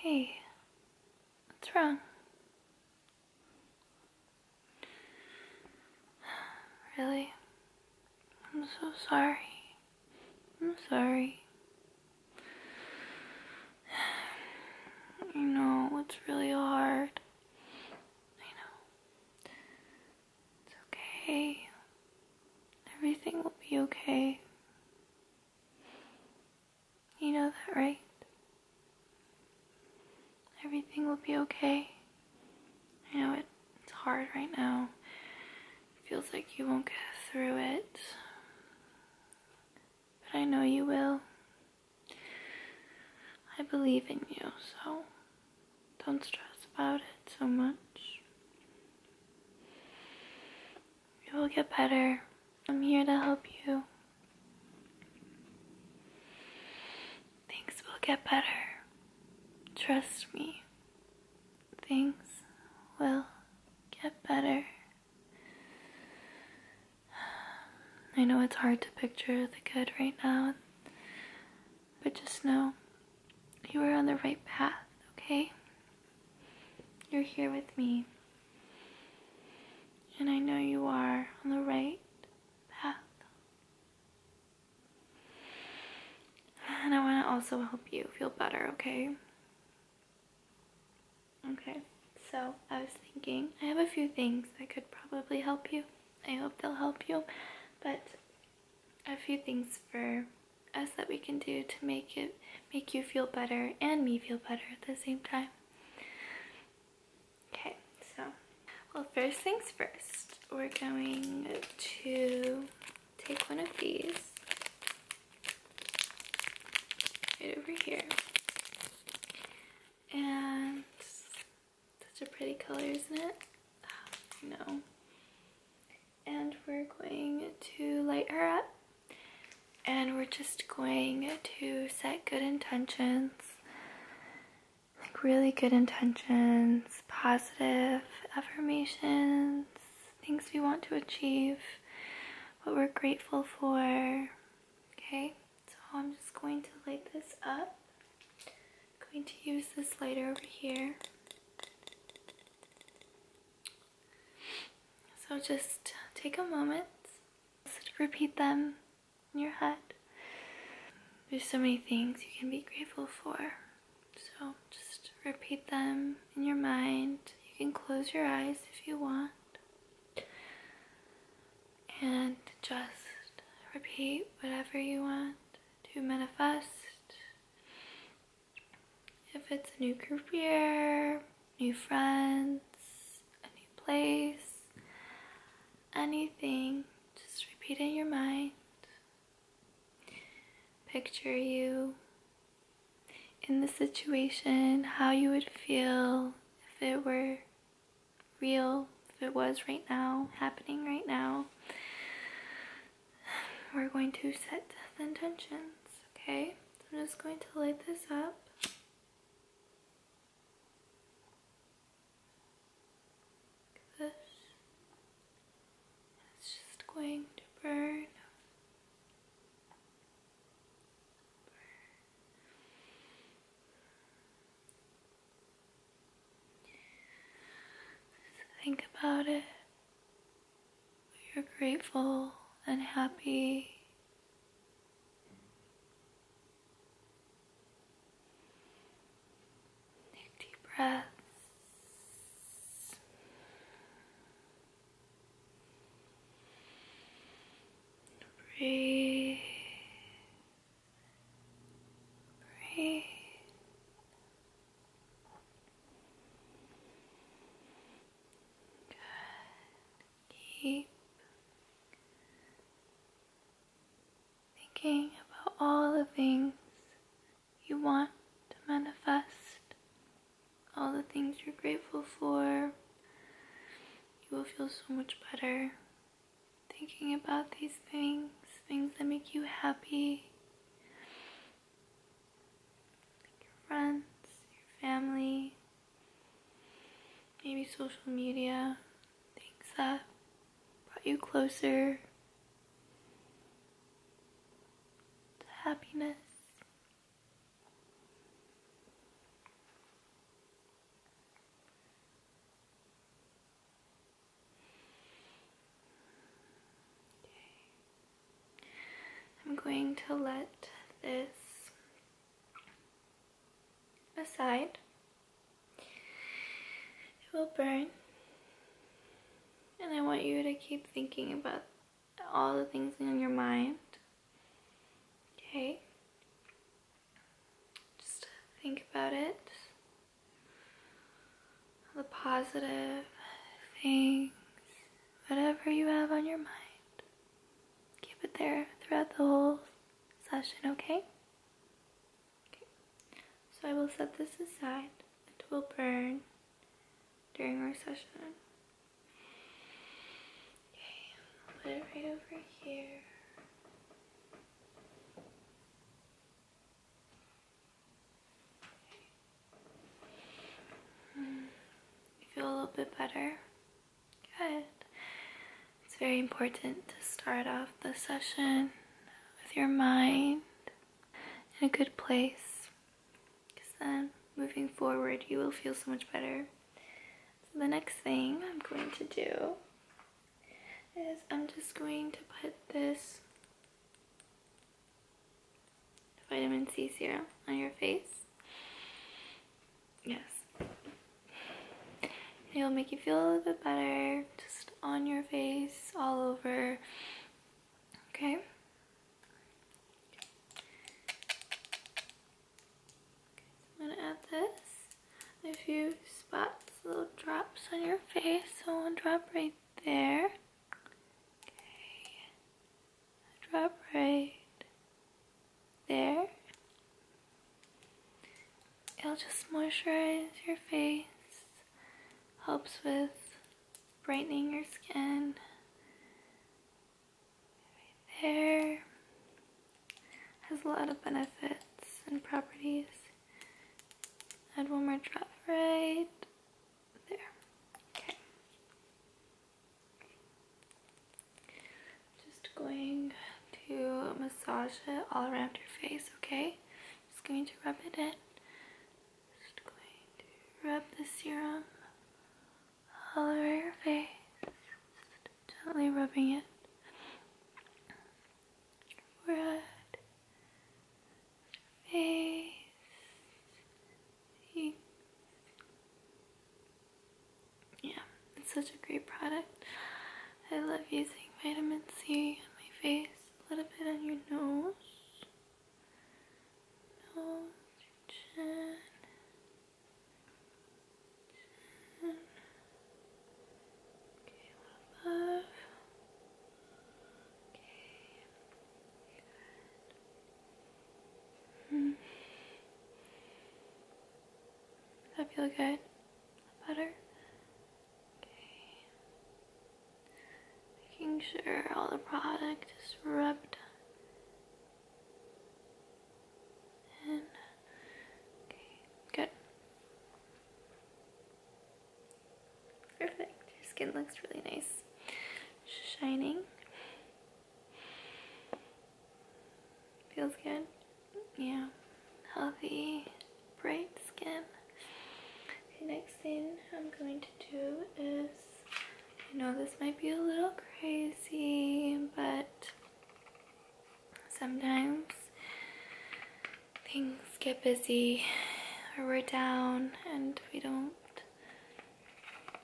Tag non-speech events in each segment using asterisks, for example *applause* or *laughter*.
Hey, what's wrong? Really? I'm so sorry. I'm sorry. *sighs* You know, it's really hard. I know. It's okay. Everything will be okay. You know that, right? Everything will be okay. I know it, it's hard right now. feels like you won't get through it. But I know you will. I believe in you, so don't stress about it so much. It will get better. I'm here to help you. Things will get better. Trust me. Things will get better. I know it's hard to picture the good right now. But just know you are on the right path, okay? You're here with me. And I know you are on the right path. And I want to also help you feel better, okay? Okay, so I was thinking I have a few things that could probably help you. I hope they'll help you, but a few things for us that we can do to make it make you feel better and me feel better at the same time. Okay, so well first things first, we're going to take one of these right over here. And such a pretty color, isn't it? Oh, no and we're going to light her up and we're just going to set good intentions like really good intentions positive affirmations things we want to achieve what we're grateful for okay so I'm just going to light this up I'm going to use this lighter over here. So just take a moment, just repeat them in your head. There's so many things you can be grateful for. So just repeat them in your mind. You can close your eyes if you want. And just repeat whatever you want to manifest. If it's a new career, new friends, a new place, anything, just repeat in your mind. Picture you in the situation, how you would feel if it were real, if it was right now, happening right now we're going to set the intentions, okay? I'm just going to light this up. this. It's just going to burn. Think about it. You're grateful and happy. Take deep breaths. Breathe. Breathe. Good. Keep thinking about all the things you want to manifest, all the things you're grateful for. You will feel so much better thinking about these things, things that make you happy, like your friends, your family, maybe social media, things that brought you closer to happiness. I'm going to let this aside. It will burn. And I want you to keep thinking about all the things in your mind. Okay? Just think about it. the positive things, whatever you have on your mind. Keep it there throughout the whole session, okay? So I will set this aside. It will burn during our session. Okay, put it right over here. You feel a little bit better? Good. It's very important to start off the session with your mind in a good place because then moving forward you will feel so much better. the next thing I'm going to do is I'm just going to put this vitamin C serum on your face. Yes. It'll make you feel a little bit better, just on your face, all over. Okay? I'm gonna add this a few spots, little drops on your face. So one drop right there. Okay. drop right there. It'll just moisturize your face. Helps with brightening your skin. there has a lot of benefits and properties. Add one more drop right there. Okay. Just going to massage it all around your face, okay? Just going to rub it in. Just going to rub the serum all over your face. gently rubbing it forehead, face, Yeah, it's such a great product. I love using vitamin C on my face, a little bit on your nose, chin, Okay, a little Okay, Hmm. Does that feel good? Better? Okay. Making sure all the product is rubbed in good. Perfect. Your skin looks really nice. Shining. Feels good. Yeah. Healthy, bright skin. Okay, next thing I'm going to do is I know this might be a little crazy, but sometimes things get busy or we're down and we don't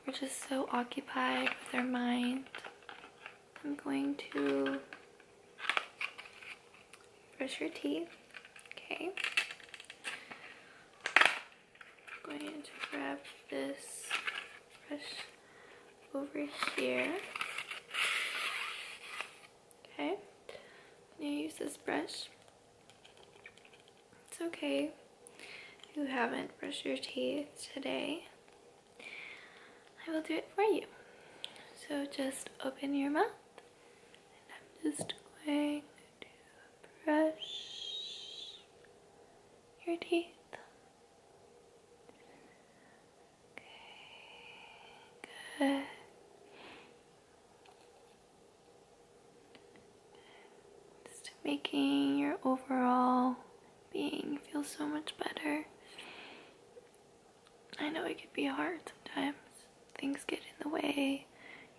we're just so occupied with our mind I'm going to brush your teeth okay I'm going to grab this brush over here. Okay, now use this brush. It's okay if you haven't brushed your teeth today. I will do it for you. So just open your mouth and I'm just going to brush your teeth Okay, good. Just making your overall being feel so much better. I know it can be hard sometimes. Things get in the way.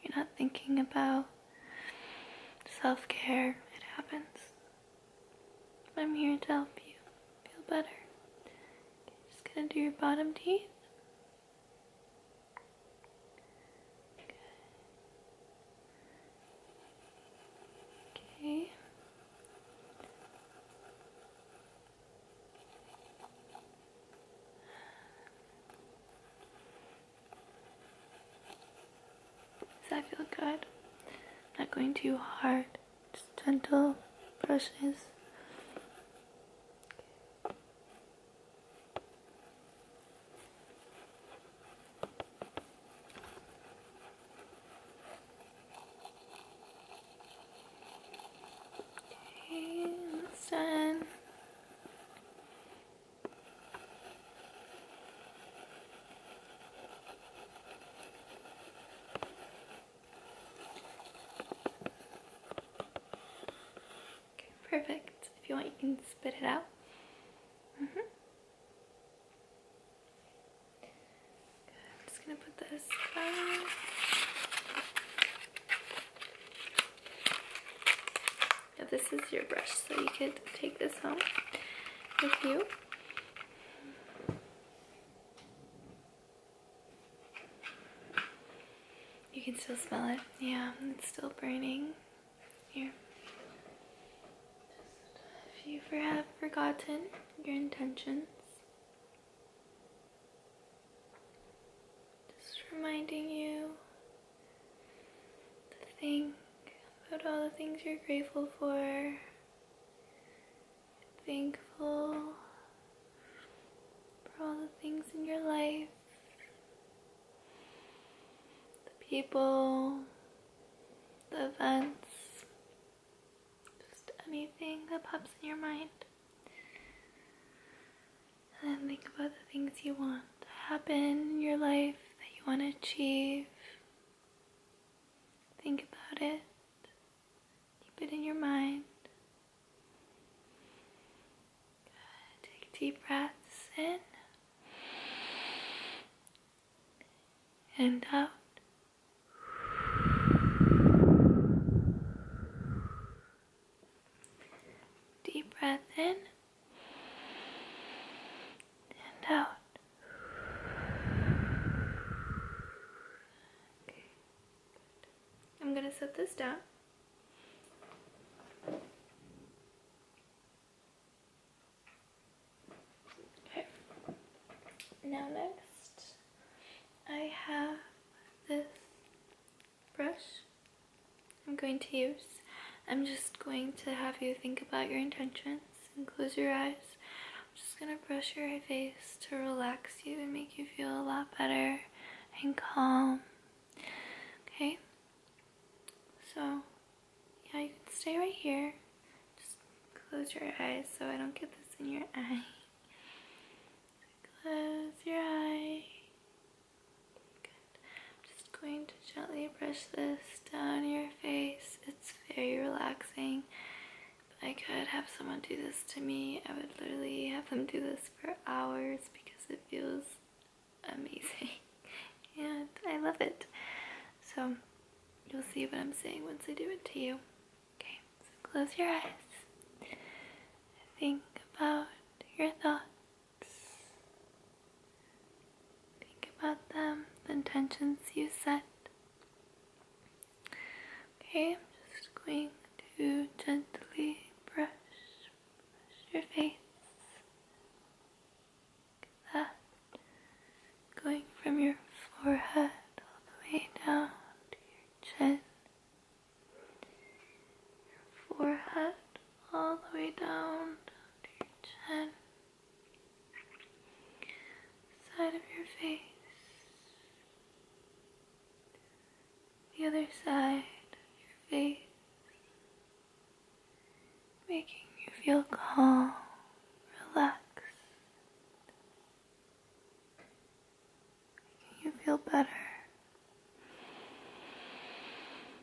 You're not thinking about self care. It happens. I'm here to help you feel better. just gonna do your bottom teeth. Good. Okay. Does that feel good? Not going too hard, just gentle brushes. Okay, that's done perfect. If you want, you can spit it out. Mm-hmm. I'm just gonna put this Now this is your brush, so you can take this home with you. You can still smell it. Yeah, it's still burning. Here. if you have forgotten your intentions, just reminding you the thing about all the things you're grateful for, thankful for all the things in your life, the people, the events, just anything that pops in your mind. And then think about the things you want to happen in your life, that you want to achieve, Think about it. Keep it in your mind. Take deep breaths in and out. Deep breath in and out. Okay, good. I'm going to set this down. Okay. Now next, I have this brush I'm going to use. I'm just going to have you think about your intention and close your eyes. I'm just gonna brush your face to relax you and make you feel a lot better and calm. Okay? So, yeah, you can stay right here. Just close your eyes so I don't get this in your eye. *laughs* Close your eyes. I'm just going to gently brush this down your face. It's very relaxing. I could have someone do this to me, I would literally have them do this for hours because it feels amazing. *laughs* and I love it. So you'll see what I'm saying once I do it to you. Okay, so close your eyes. Think about your thoughts. Think about them, the intentions you set. Okay, I'm just going to gently brush, your face. Like that. Going from your forehead all the way down to your chin. Your forehead all the way down to your chin side of your face, the other side of your face, making you feel calm, relaxed, making you feel better.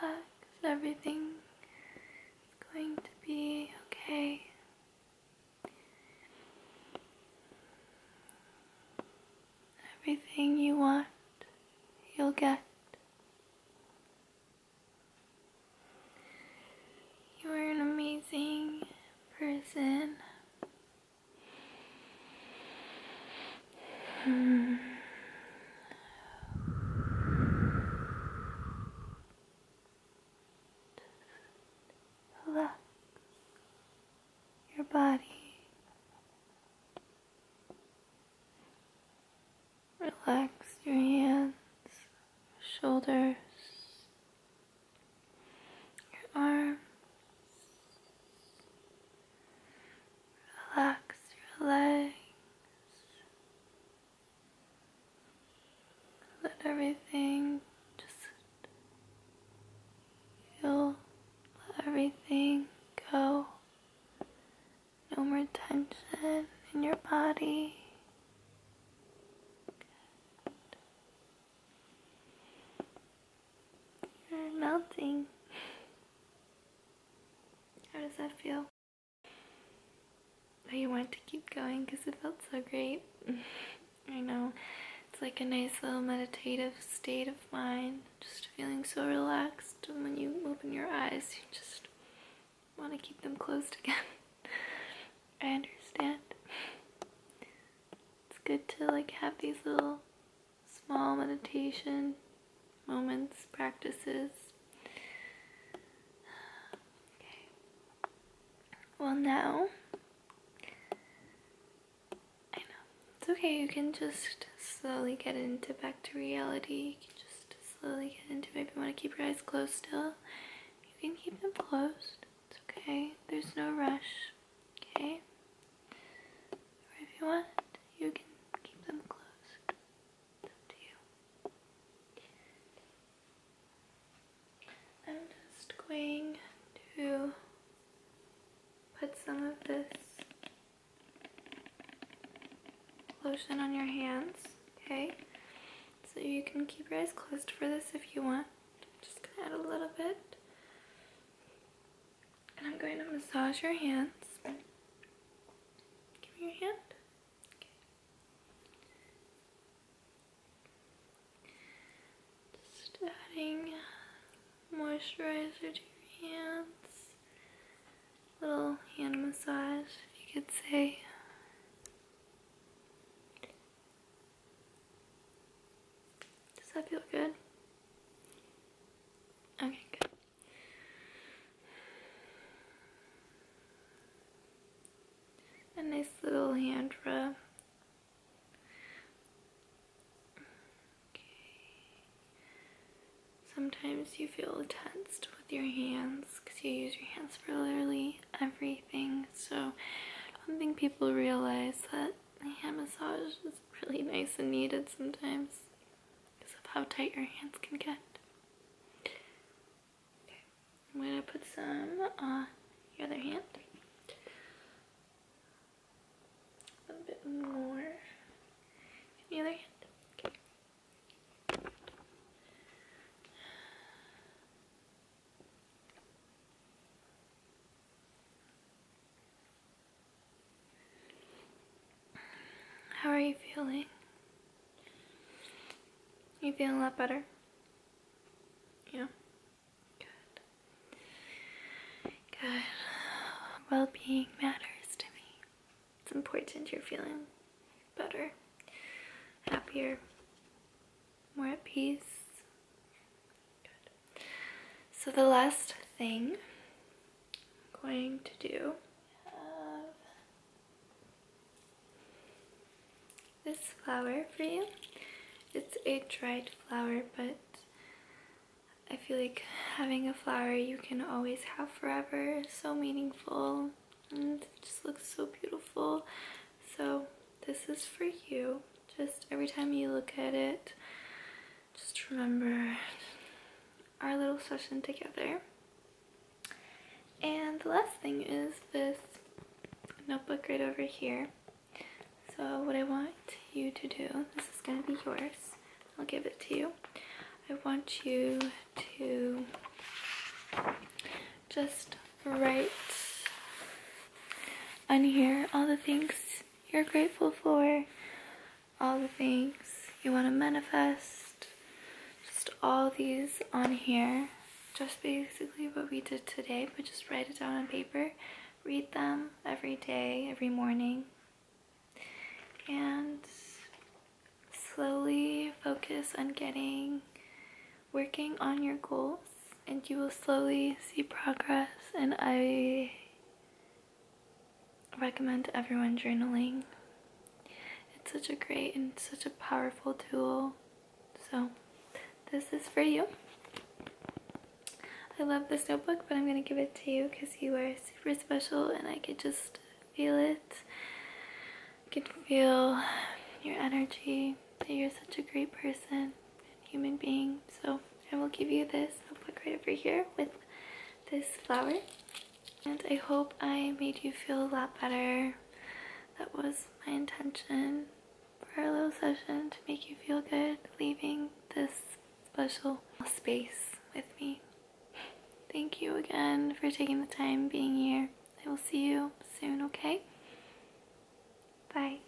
Relax, everything is going to be okay. Everything you want, you'll get. You are an amazing person. Hmm. Relax your body, relax your hands, shoulders, your arms. Relax your legs. Let everything just feel, let everything go. No more tension in your body. You're melting. How does that feel? go. But you want to keep going because it felt so great. *laughs* I know. It's like a nice little meditative state of mind. Just feeling so relaxed. And when you open your eyes, you just want to keep them closed *laughs* again. I understand. It's good to like have these little small meditation moments, practices. Okay. Well, now, I know. It's okay, you can just slowly get into back to reality. You can just slowly get into it. If you want to keep your eyes closed still, you can keep them closed. It's okay. There's no rush. Okay? if you want, you can keep them closed. to you. I'm just going to put some of this lotion on your hands, okay? So you can keep your eyes closed for this if you want. just add a little bit. And I'm going to massage your hands. Give me your hand. Just adding moisturizer to your hands. Little hand massage, you could say. Does that feel good? Okay, good. A nice little hand rub. Sometimes you feel tensed with your hands because you use your hands for literally everything. So I don't think people realize that hand massage is really nice and needed sometimes because of how tight your hands can get. Okay, I'm gonna put some on the other hand. A little bit more the other hand. Okay. How are you feeling? You feeling a lot better? Yeah. Good. Good. Well being matters to me. It's important you're feeling better, happier, more at peace. Good. So the last thing I'm going to do this flower for you. It's a dried flower, but I feel like having a flower you can always have forever so meaningful and it just looks so beautiful. So this is for you. Just every time you look at it, just remember our little session together. And the last thing is this notebook right over here. So what I want you to do, this is going to be yours, I'll give it to you. I want you to just write on here all the things you're grateful for, all the things you want to manifest, just all these on here. Just basically what we did today, but just write it down on paper. Read them every day, every morning. And slowly focus on getting, working on your goals and you will slowly see progress and I recommend everyone journaling. It's such a great and such a powerful tool. So this is for you. I love this notebook, but I'm going to give it to you because you are super special and I could just feel it. I could feel your energy, that you're such a great person human being. So I will give you this. I'll put right over here with this flower. And I hope I made you feel a lot better. That was my intention for our little session to make you feel good leaving this special space with me. Thank you again for taking the time being here. I will see you soon, okay? Bye.